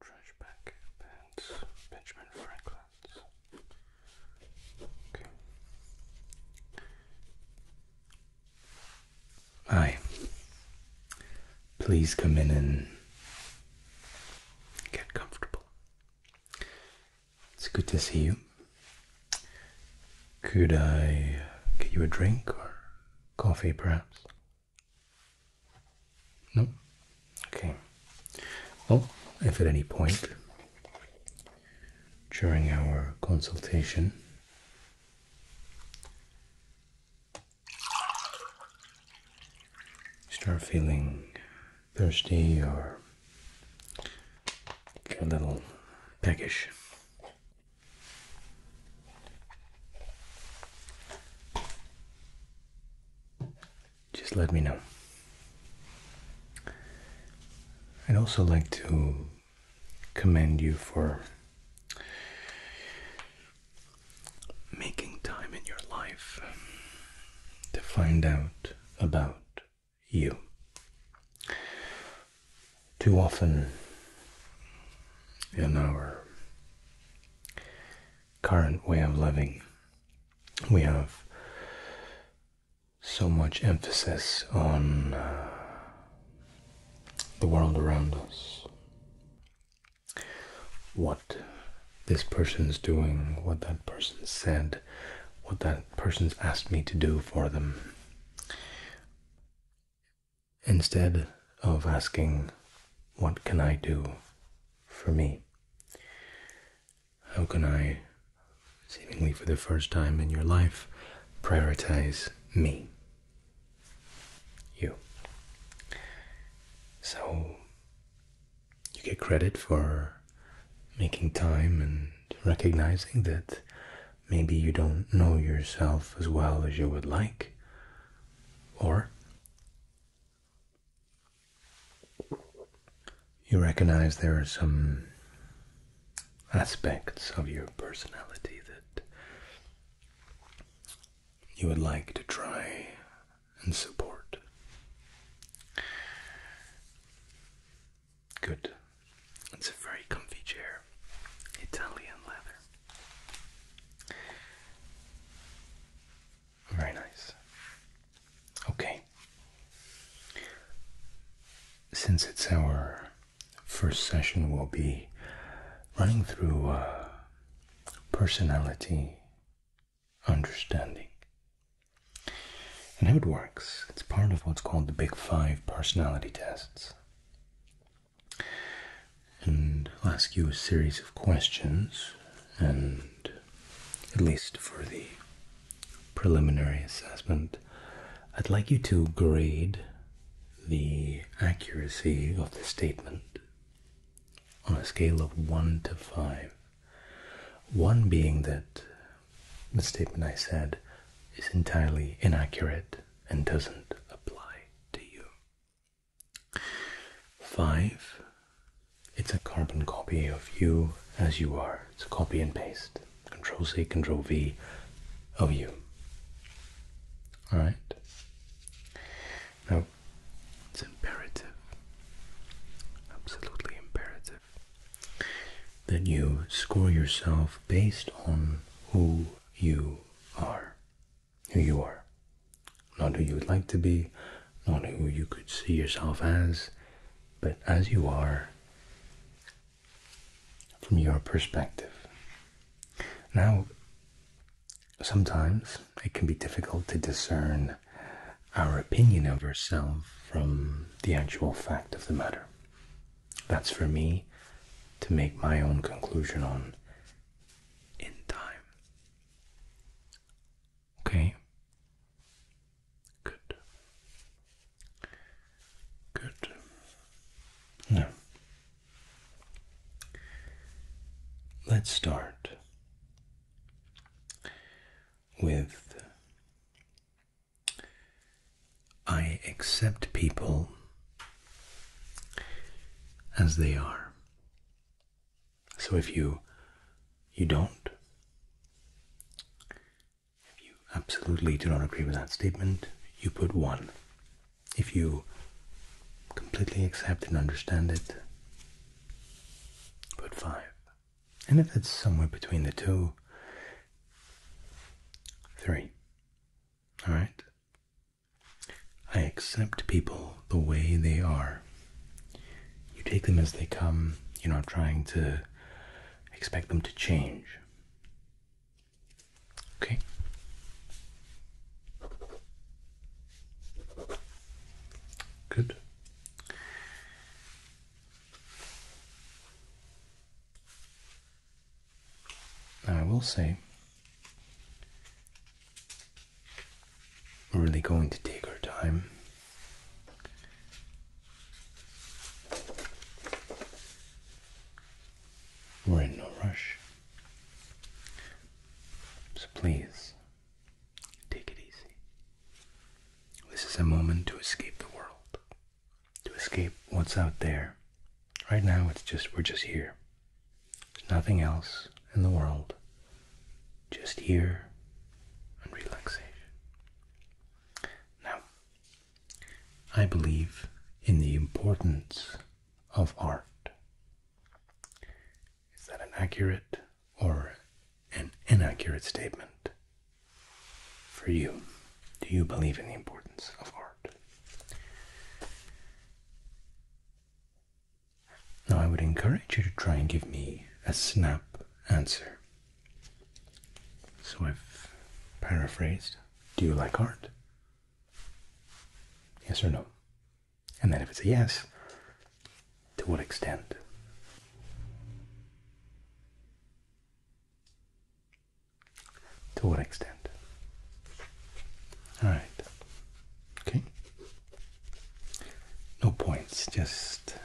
Trash bag pants, Benjamin Franklin's. Hi. Please come in and get comfortable. It's good to see you. Could I get you a drink or coffee, perhaps? No? Okay. Well, if at any point during our consultation you start feeling thirsty or a little peckish just let me know. I'd also like to commend you for making time in your life to find out about you. Too often in our current way of living. We have so much emphasis on uh, the world around us. What this person's doing, what that person said, what that person's asked me to do for them. Instead of asking, What can I do for me? How can I, seemingly for the first time in your life, prioritize me? You. So, you get credit for making time and recognizing that maybe you don't know yourself as well as you would like, or you recognize there are some aspects of your personality that you would like to try and support. Good. It's a very comfy chair, Italian leather. Very nice. Okay. Since it's our first session, we'll be running through uh, personality understanding and how it works. It's part of what's called the Big Five personality tests and I'll ask you a series of questions, and at least for the preliminary assessment, I'd like you to grade the accuracy of the statement on a scale of 1 to 5. 1 being that the statement I said is entirely inaccurate and doesn't apply to you. Five, it's a carbon copy of you as you are. It's a copy and paste. Control C, Control V of you. Alright? Now, it's imperative, absolutely imperative, that you score yourself based on who you are who you are. Not who you would like to be, not who you could see yourself as, but as you are from your perspective. Now, sometimes it can be difficult to discern our opinion of ourselves from the actual fact of the matter. That's for me to make my own conclusion on in time. Okay. Good. Good. Now, let's start with I accept people as they are. So if you you don't if you absolutely do not agree with that statement, you put one. If you completely accept and understand it, put five. And if it's somewhere between the two, three. Alright? I accept people the way they are. You take them as they come, you're not trying to expect them to change. Okay? Good. Now, I will say we're really going to take our time. We're in no rush. So please, take it easy. This is a moment to escape the world, to escape what's out there. Right now, it's just, we're just here. There's nothing else in the world, just here and relaxation. Now, I believe in the importance of art. Is that an accurate or an inaccurate statement for you? Do you believe in the importance of art? Now I would encourage you to try and give me a snap answer. So I've paraphrased, do you like art? Yes or no? And then if it's a yes, to what extent? To what extent? All right. Okay. No points, just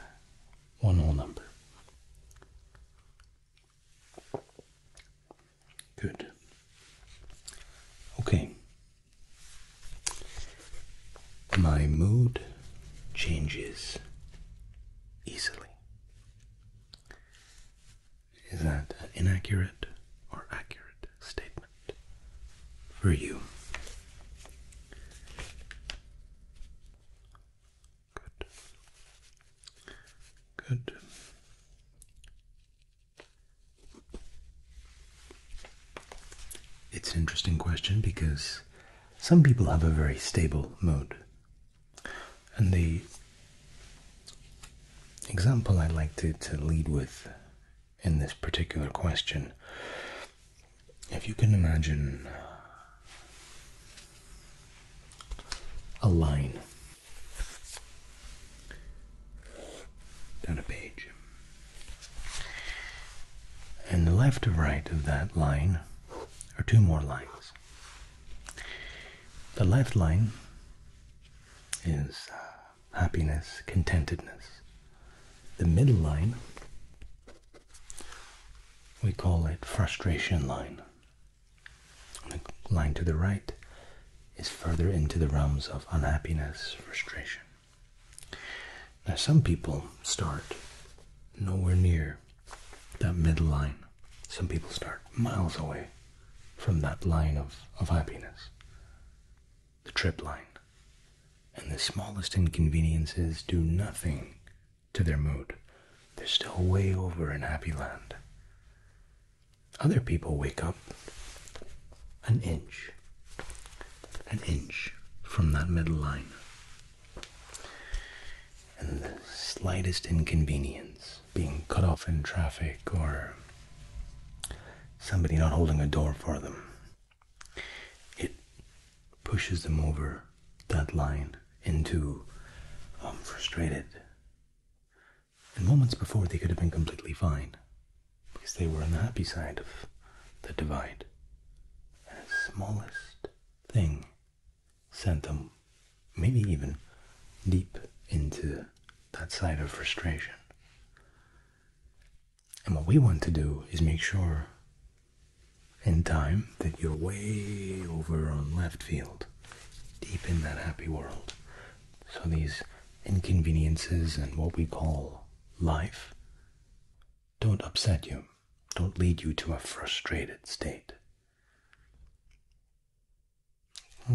one whole number. Good. Okay. My mood changes easily. Is that inaccurate or accurate? statement for you. Good. Good. It's an interesting question because some people have a very stable mood, And the example I'd like to, to lead with in this particular question. If you can imagine a line down a page, and left to right of that line are two more lines. The left line is happiness, contentedness. The middle line, we call it frustration line. The line to the right is further into the realms of unhappiness, frustration. Now, some people start nowhere near that middle line. Some people start miles away from that line of, of happiness the trip line, and the smallest inconveniences do nothing to their mood. They're still way over in happy land. Other people wake up an inch, an inch from that middle line. And the slightest inconvenience, being cut off in traffic or somebody not holding a door for them, it pushes them over that line into um, frustrated. And moments before, they could have been completely fine because they were on the happy side of the divide. And the smallest thing sent them maybe even deep into that side of frustration. And what we want to do is make sure in time that you're way over on left field, deep in that happy world. So these inconveniences and what we call life don't upset you, don't lead you to a frustrated state.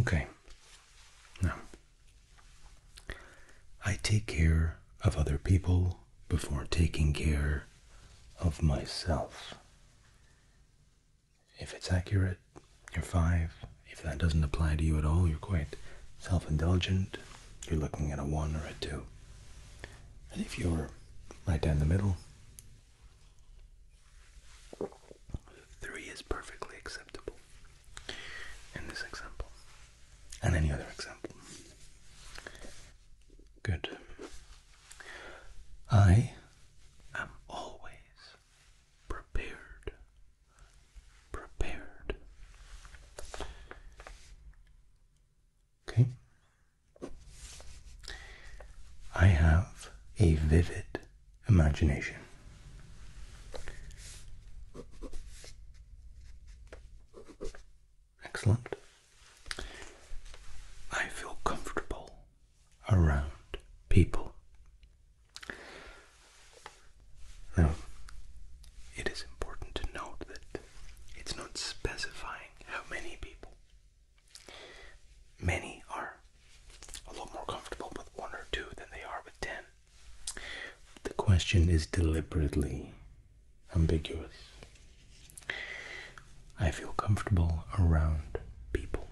Okay, now I take care of other people before taking care of myself. If it's accurate, you're five. If that doesn't apply to you at all, you're quite self indulgent. You're looking at a one or a two. And if you're right down the middle, three is perfectly acceptable in this example and any other example. Good. I am always prepared. Prepared. Okay. I have a vivid imagination. Excellent. I feel comfortable around people. Now, it is important to note that it's not specifying how many people. Many are a lot more comfortable with one or two than they are with ten. The question is deliberately ambiguous. I feel comfortable around people.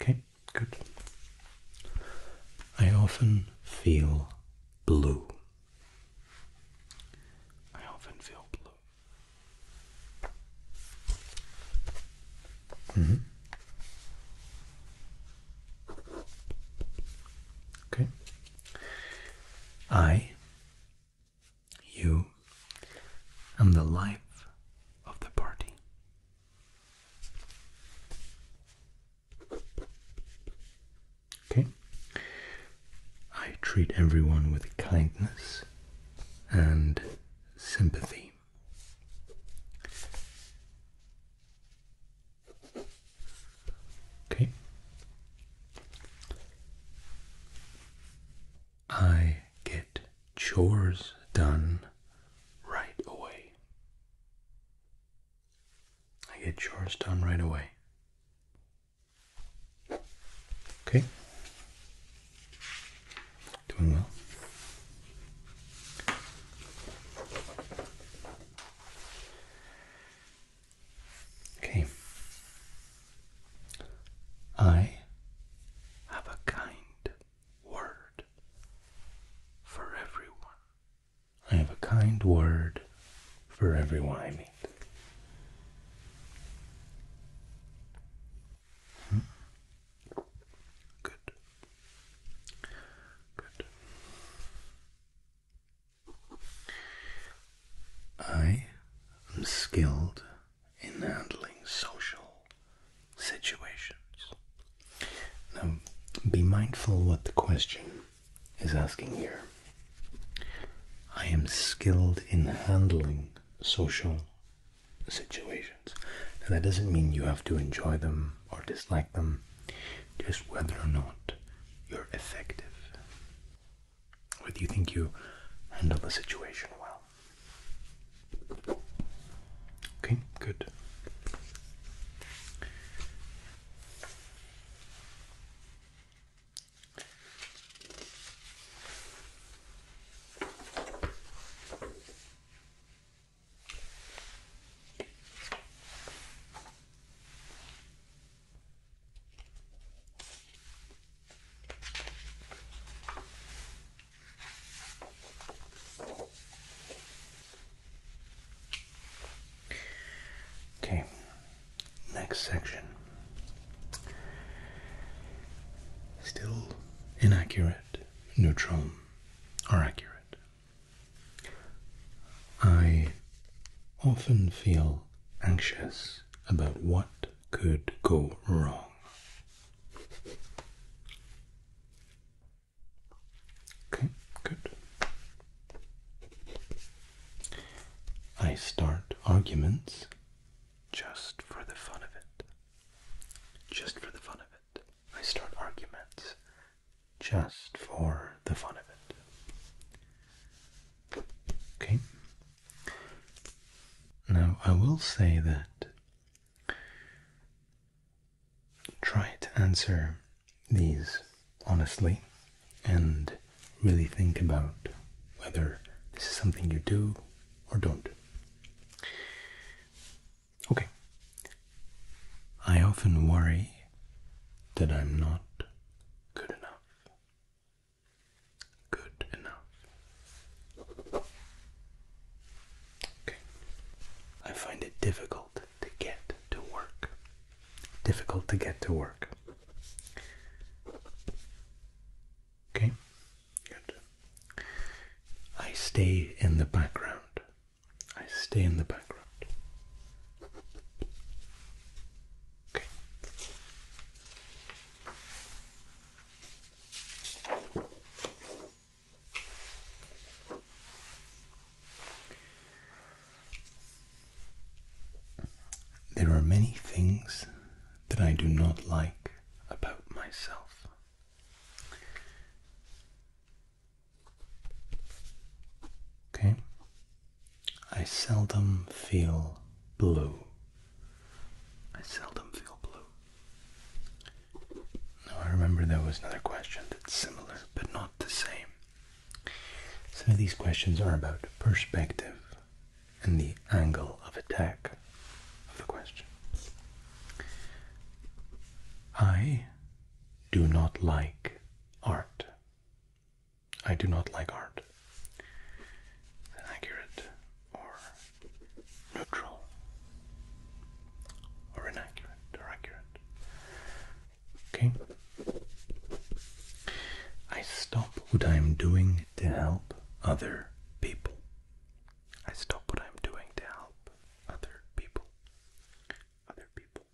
Okay, good. I often feel blue. I often feel blue. Mm-hmm. Okay. I, you, am the life of the party. Okay. I treat everyone with kindness and sympathy. Okay. I get chores done right away. I get chores done right away. Okay. Doing well. Okay. I have a kind word for everyone. I have a kind word for everyone I meet. Hmm? Good. Good. I am skilled in handling social situations. Now, be mindful what the question is asking here. I am skilled in handling social situations. And that doesn't mean you have to enjoy them or dislike them, just whether or not you're effective. Whether you think you handle the situation well. Okay, good. Okay, next section. Still inaccurate, neutral, or accurate. I often feel anxious about what could go wrong. Okay, good. I start arguments just for the fun of it. Just for the fun of it. I start arguments just for the fun of it. Okay? Now, I will say that try to answer these honestly and really think about whether this is something you do or don't. Okay. I often worry that I'm not good enough. Good enough. Okay. I find it difficult to get to work. Difficult to get to work. Okay. Good. I stay in the background I stay in the background. Okay. There are many things that I do not like about myself. Okay, I seldom feel blue. I seldom feel blue. Now, I remember there was another question that's similar but not the same. Some of these questions are about perspective and the angle of attack of the question. I do not like art. I do not like art. Is or neutral or inaccurate or accurate? Okay. I stop what I am doing to help other people. I stop what I am doing to help other people other people.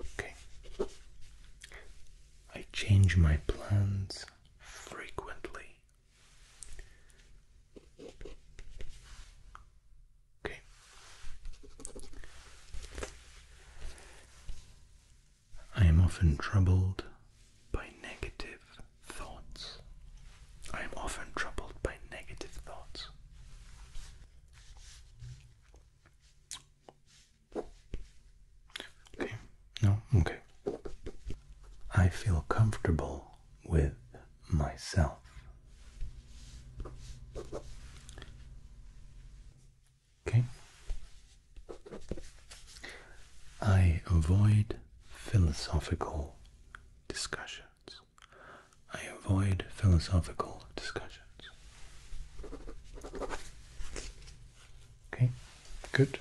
Okay. I change my plans frequently. Okay. I am often troubled by negative thoughts. I am often troubled by negative thoughts. No, okay. I feel comfortable with myself. Okay. I avoid philosophical discussions. I avoid philosophical discussions. Okay, good.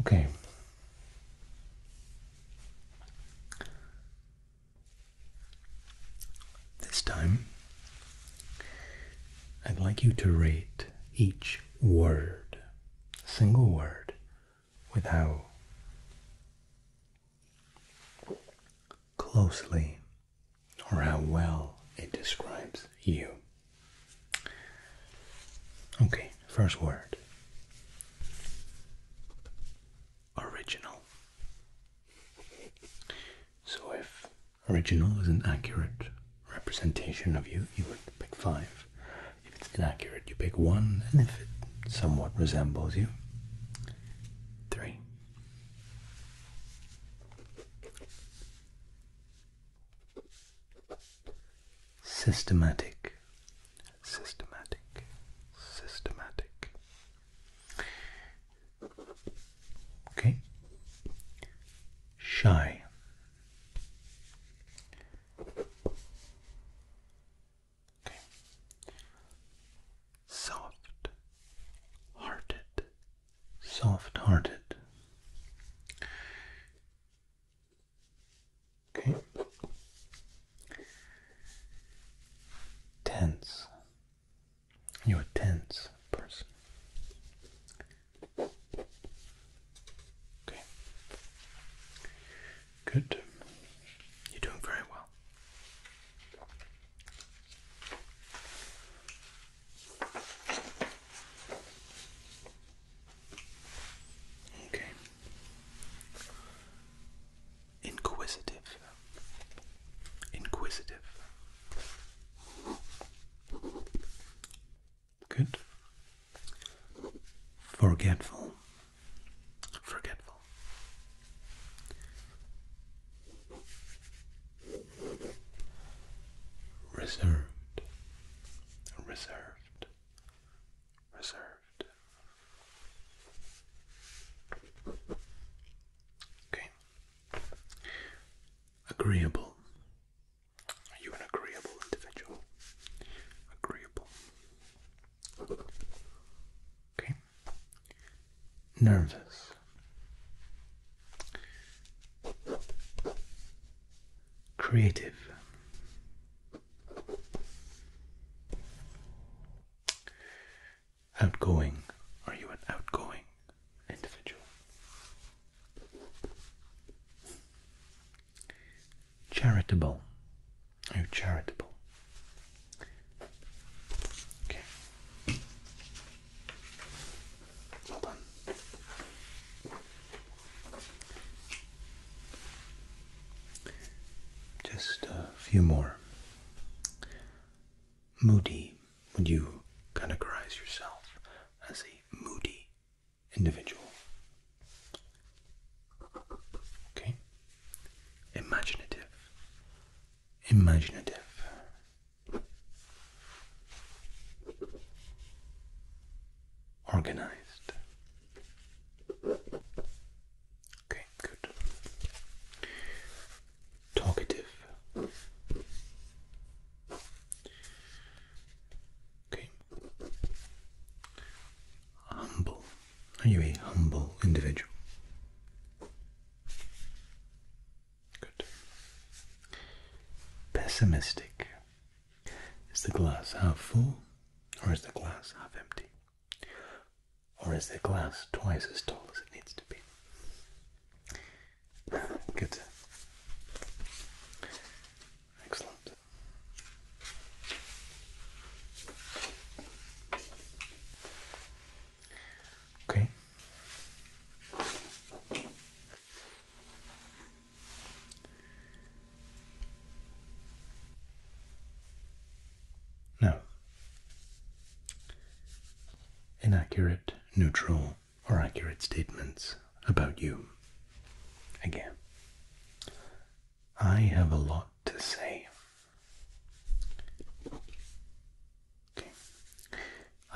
Okay. This time, I'd like you to rate each word, single word, with how closely or how well it describes you. Okay, first word original. So, if original is an accurate representation of you, you would pick five. If it's inaccurate, you pick one, and if it somewhat resembles you, three. Systematic, systematic, systematic. Okay. Shy. Okay soft hearted, soft hearted. Okay. Tense. You're a tense person. Okay. Good. You're doing very well. Okay. Inquisitive. Inquisitive. Good. Forgetful. Forgetful. Reserved, reserved, reserved. Okay. Agreeable. Are you an agreeable individual? Agreeable. Okay nervous. Creative. Outgoing. Are you an outgoing individual? Charitable. Are you charitable? Okay. Well done. Just a few more. Moody. Would you categorize yourself as a moody individual? Okay. Imaginative imaginative. Organized. Okay, good. Talkative. Okay. Humble. Are you a humble individual? Good. Pessimistic. Is the glass half full or is the glass half empty? Or is the glass twice as tall as it needs to be? Good. Excellent. Okay. Now, Inaccurate, neutral, or accurate statements about you. Again, I have a lot to say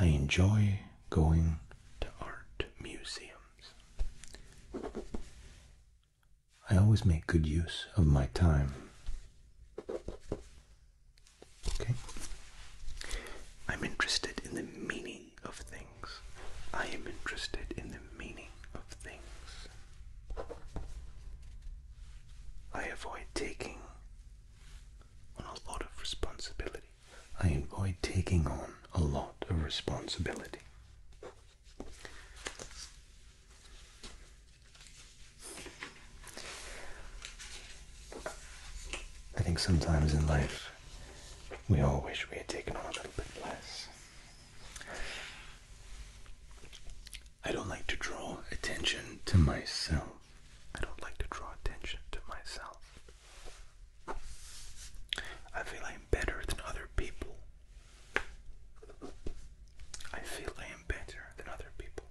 I enjoy going to art museums. I always make good use of my time. I'm interested in the meaning of things. I am interested in the meaning of things. I avoid taking a lot of responsibility. I avoid taking on a lot of responsibility. I think sometimes in life we all wish we had taken on a little bit less. I don't like to draw attention to myself. I don't like to draw attention to myself. I feel I am better than other people. I feel I am better than other people.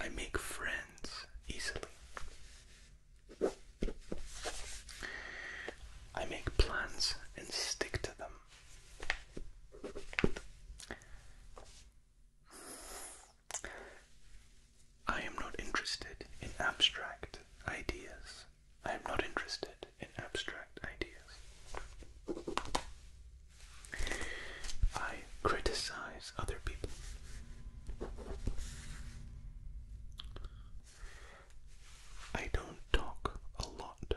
I make friends easily. I make plans and stick to them. I am not interested in abstract ideas. I am not interested in abstract ideas. I criticize other people. I don't talk a lot.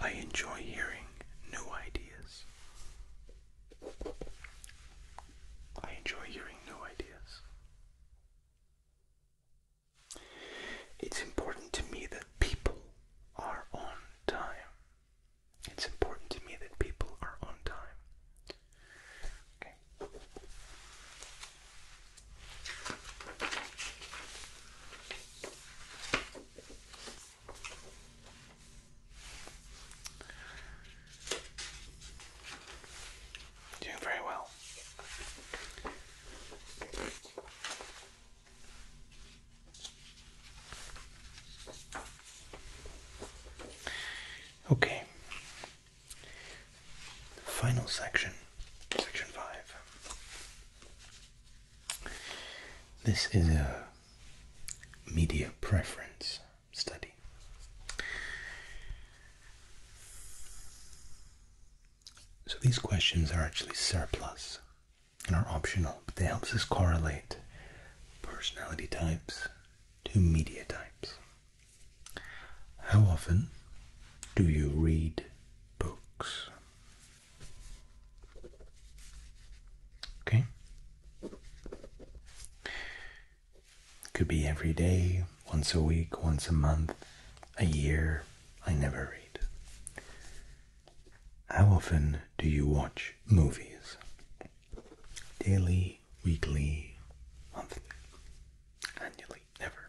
I enjoy hearing new ideas. I enjoy hearing new ideas. It's important to me that people are on time. It's important to me that people are on time. Okay. Doing very well. Okay. Final section, section five. This is a media preference study. So these questions are actually surplus and are optional, but they help us correlate personality types to media types. How often do you read books? Okay. Could be every day, once a week, once a month, a year. I never read. How often do you watch movies? Daily, weekly, monthly, annually, never.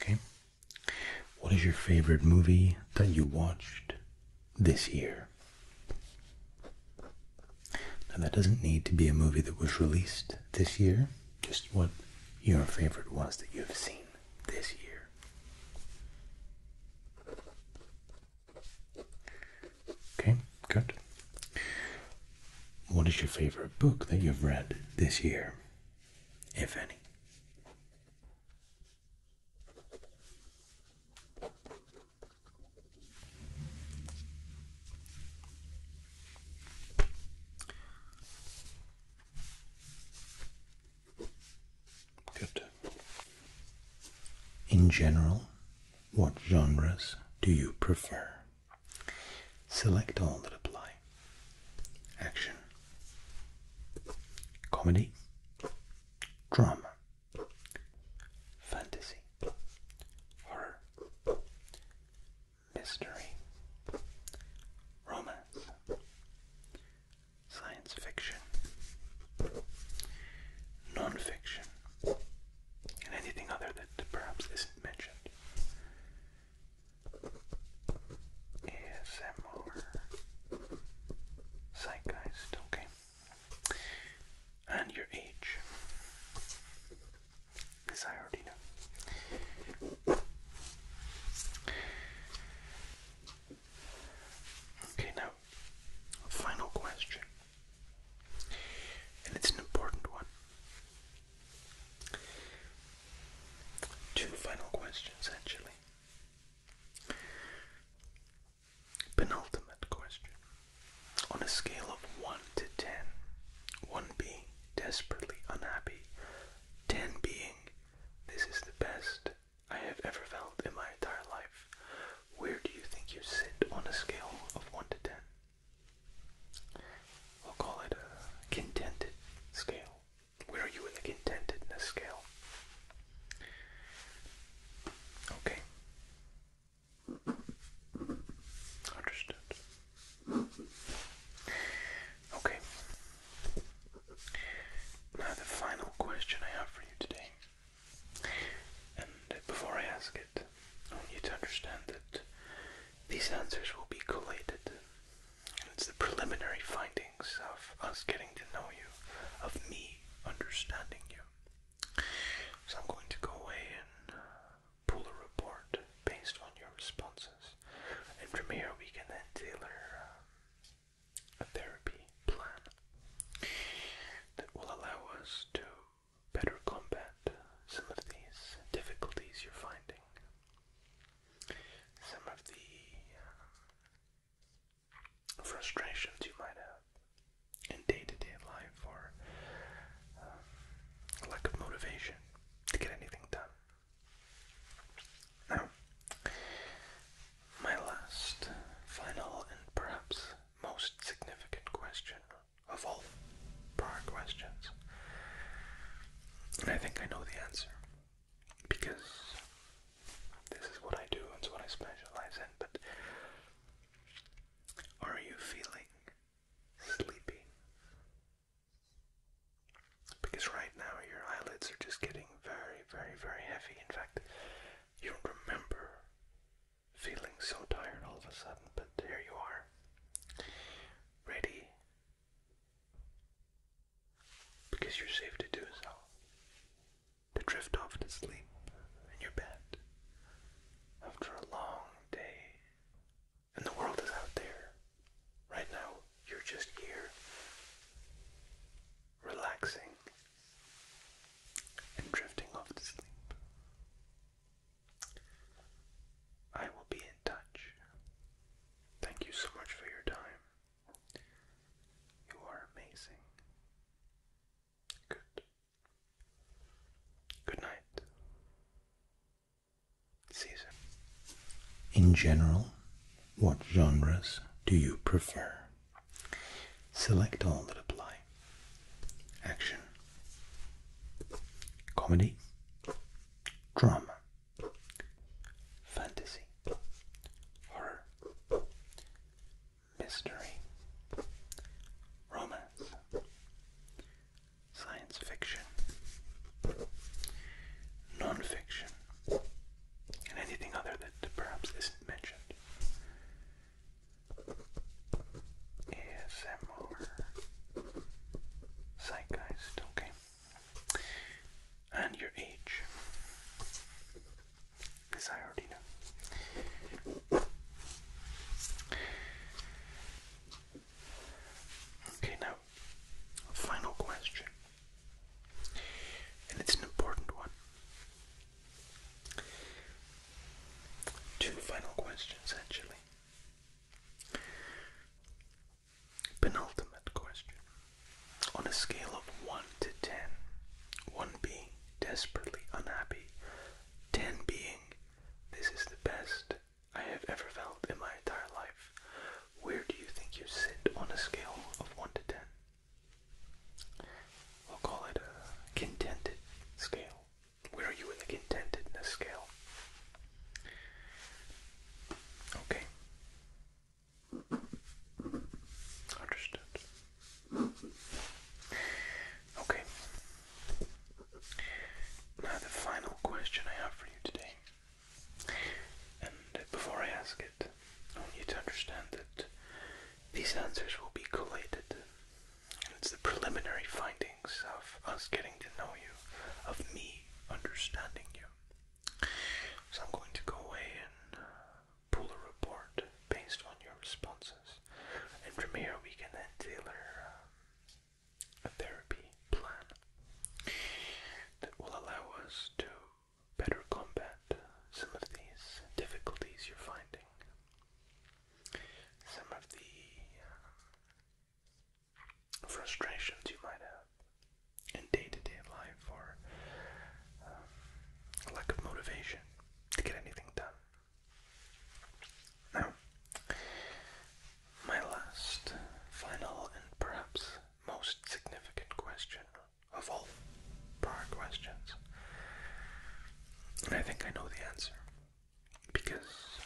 Okay. What is your favorite movie that you watched this year? Now, that doesn't need to be a movie that was released this year, just what your favorite was that you've seen this year. Okay, good. What is your favorite book that you've read this year? if any. Good. In general, what genres do you prefer? Select all that apply. Action. Comedy. Drama. Fantasy. Horror. Mystery. Romance. Science fiction. Non fiction. And anything other that perhaps isn't mentioned. ASMR zeitgeist, And your age. This I already know. Okay, now, final question. And it's an important one. Two final questions, actually. Penultimate question. On a scale of 1 to 10, 1 being desperately unhappy, 10 being this is the best I have ever felt in my entire life, where do you think you sit on a scale of 1 to 10? I'll call it a contented scale. Where are you in the contentedness scale? Okay. Understood. Okay. Now, the final question I have for you today. And before I ask it, I want to understand that these answers will be collated, and it's the preliminary findings of us getting to know you, of me understanding you. So I'm going to go away and uh, pull a report based on your responses, and from here we can then tailor uh, a therapy plan that will allow us to better combat some of these difficulties you're finding some of the um, frustrations you might have in day to day life or um, lack of motivation to get anything done. Now, my last, final, and perhaps most significant question of all prior questions and I think I know the answer because this is what I do, it's what I specialize in. But are you feeling sleepy? Because right now your eyelids are just getting very, very, very heavy. In fact, you don't remember feeling so tired all of a sudden, but there you are, ready because you're safe to do so. To drift off to sleep in your bed after a long day. And the world is out there. Right now, you're just here, relaxing and drifting off to sleep. I will be in touch Thank you so much for your time. You are amazing. Good. Good night. Season. In general, what genres do you prefer? Select all that apply. Action. Comedy. Drama fantasy, horror, mystery, romance, science fiction, non fiction, and anything other that perhaps isn't mentioned. ASMR Zeitgeist, and your age. This I already know. Okay, now, final question, and it's an important one. Two final questions, actually. Penultimate question. On a scale of 1 to 10, 1 being desperately unhappy, 10 being this is the best I have ever felt in my entire life, where do you think you sit on a scale of 1 to 10? We'll call it a contented scale. Where are you in the contentedness scale? Okay. Understood. Okay. Now, the final question I have for you today, and before I ask it, I want you to understand that these answers will be collated. It's the preliminary findings of us getting to know you, of me understanding you. So I'm going to go away and uh, pull a report based on your responses, and from here we can then tailor uh, a therapy plan that will allow us to better combat some of these difficulties you're finding, some of the uh, frustrations you might have in day-to-day life or um, lack of motivation to get anything done. Now, my last, final, and perhaps most significant question of all prior questions, and I think I know the answer because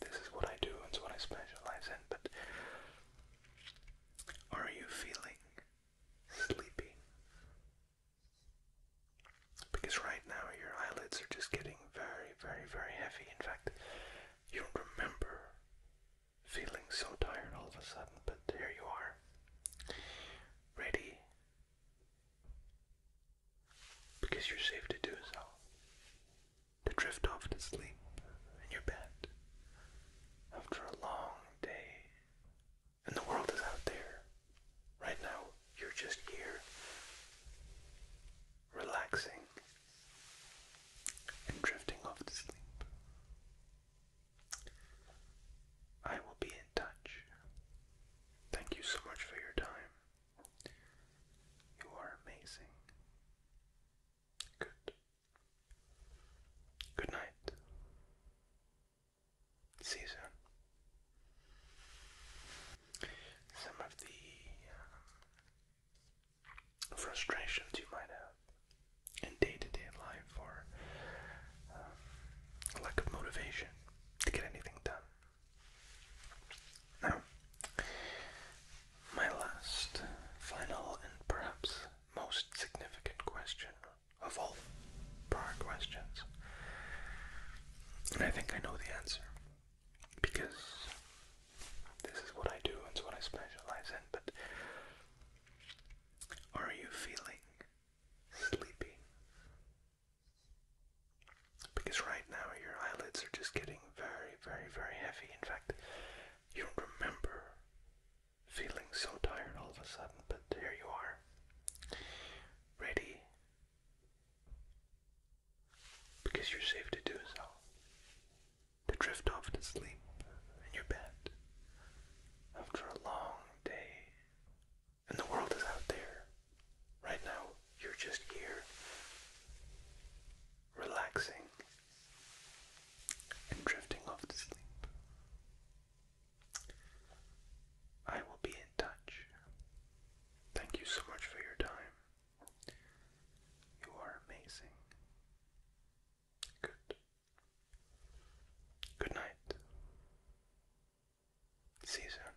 this is what I do, it's what I specialize in, but are you feeling sleepy? Because right now your eyelids are just getting very, very, very heavy. In fact, you don't remember feeling so tired all of a sudden, but here you are, ready because you're safe to do so to drift off to sleep in your bed after a long day. And the world is out there. Right now, you're just here, relaxing and drifting off to sleep. I will be in touch. Thank you so much for your time. You are amazing. Good. Good night. See you soon. Some of the uh, frustrations you might have in day-to-day life or um, lack of motivation to get anything done. Now, my last, final, and perhaps most significant question of all prior questions. And I think I know the answer because this is what I do, and what I specialize in. But are you feeling sleepy? Because right now your eyelids are just getting very, very, very heavy. In fact, you don't remember feeling so tired all of a sudden, but here you are, ready because you're safe to do so, to drift off to sleep in your bed after a long day. And the world is out there. Right now, you're just here relaxing and drifting off to sleep. I will be in touch. Thank you so much for your time. You are amazing. Good. Good night. See you soon.